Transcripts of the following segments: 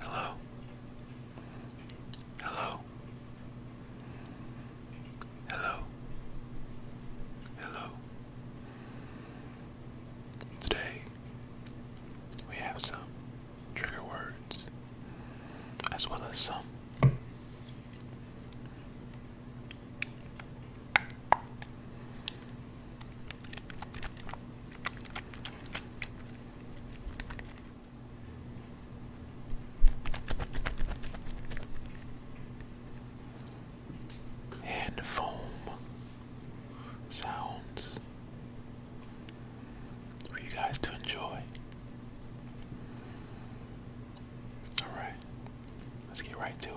Hello. Hello. Hello. Hello. Today we have some trigger words as well as some and sounds for you guys to enjoy. Alright, let's get right to it.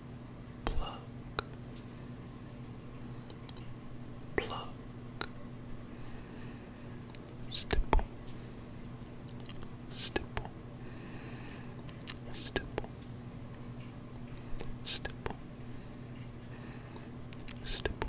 pluck, pluck, stipple, stipple, stipple, stipple, stipple, stipple.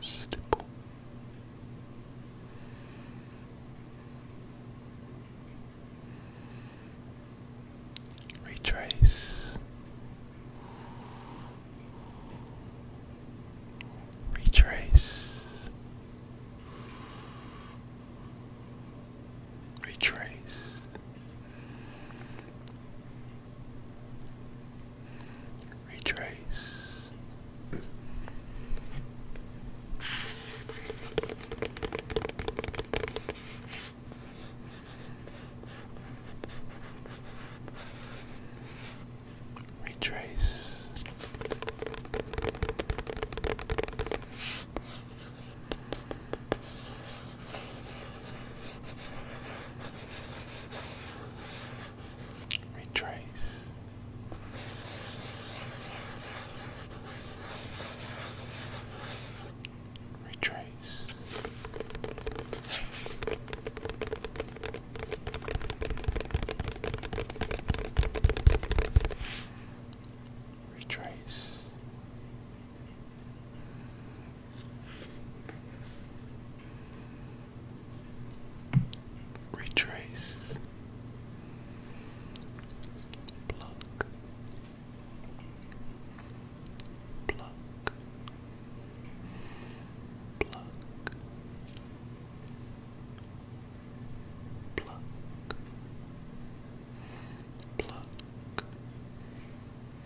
Stipple. Retrace. Retrace. Retrace retrace. Retrace. Retrace. Retrace. Retrace. Retrace. Retrace, pluck, pluck, pluck, pluck, pluck,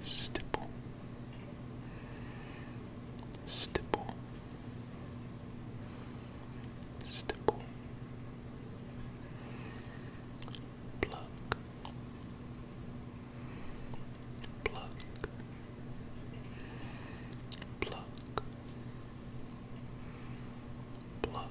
Stipple. Stipple. Stipple. Pluck. Pluck. Pluck. Pluck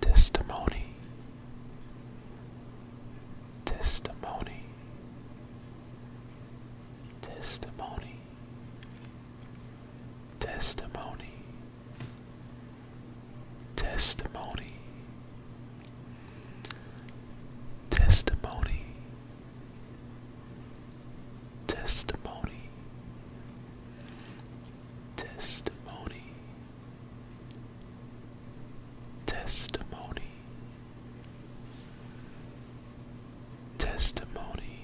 Testimony, testimony, testimony, testimony, testimony, testimony, testimony testimony, testimony, testimony,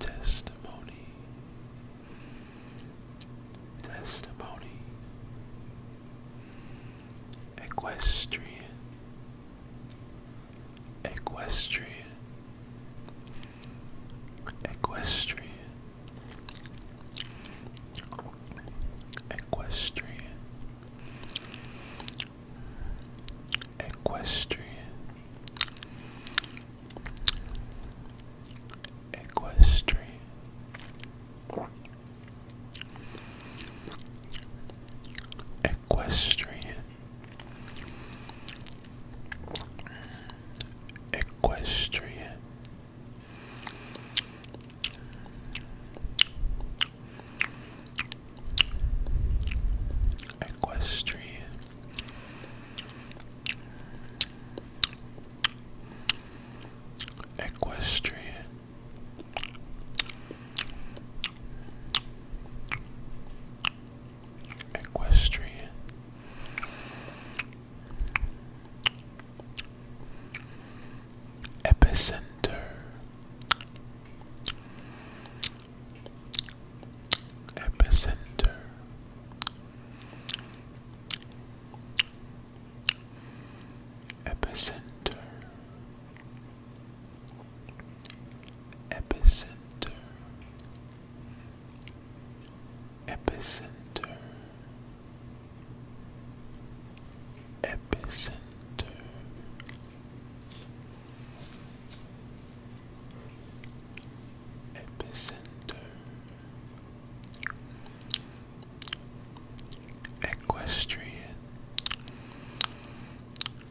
testimony, testimony, equestrian equestrian, equestrian, equestrian, equestrian, equestrian. Equestrian Equestrian. Equestrian. Equestrian. Equestrian. Epicenter. Epicenter. Epicenter epicenter epicenter epicenter epicenter equestrian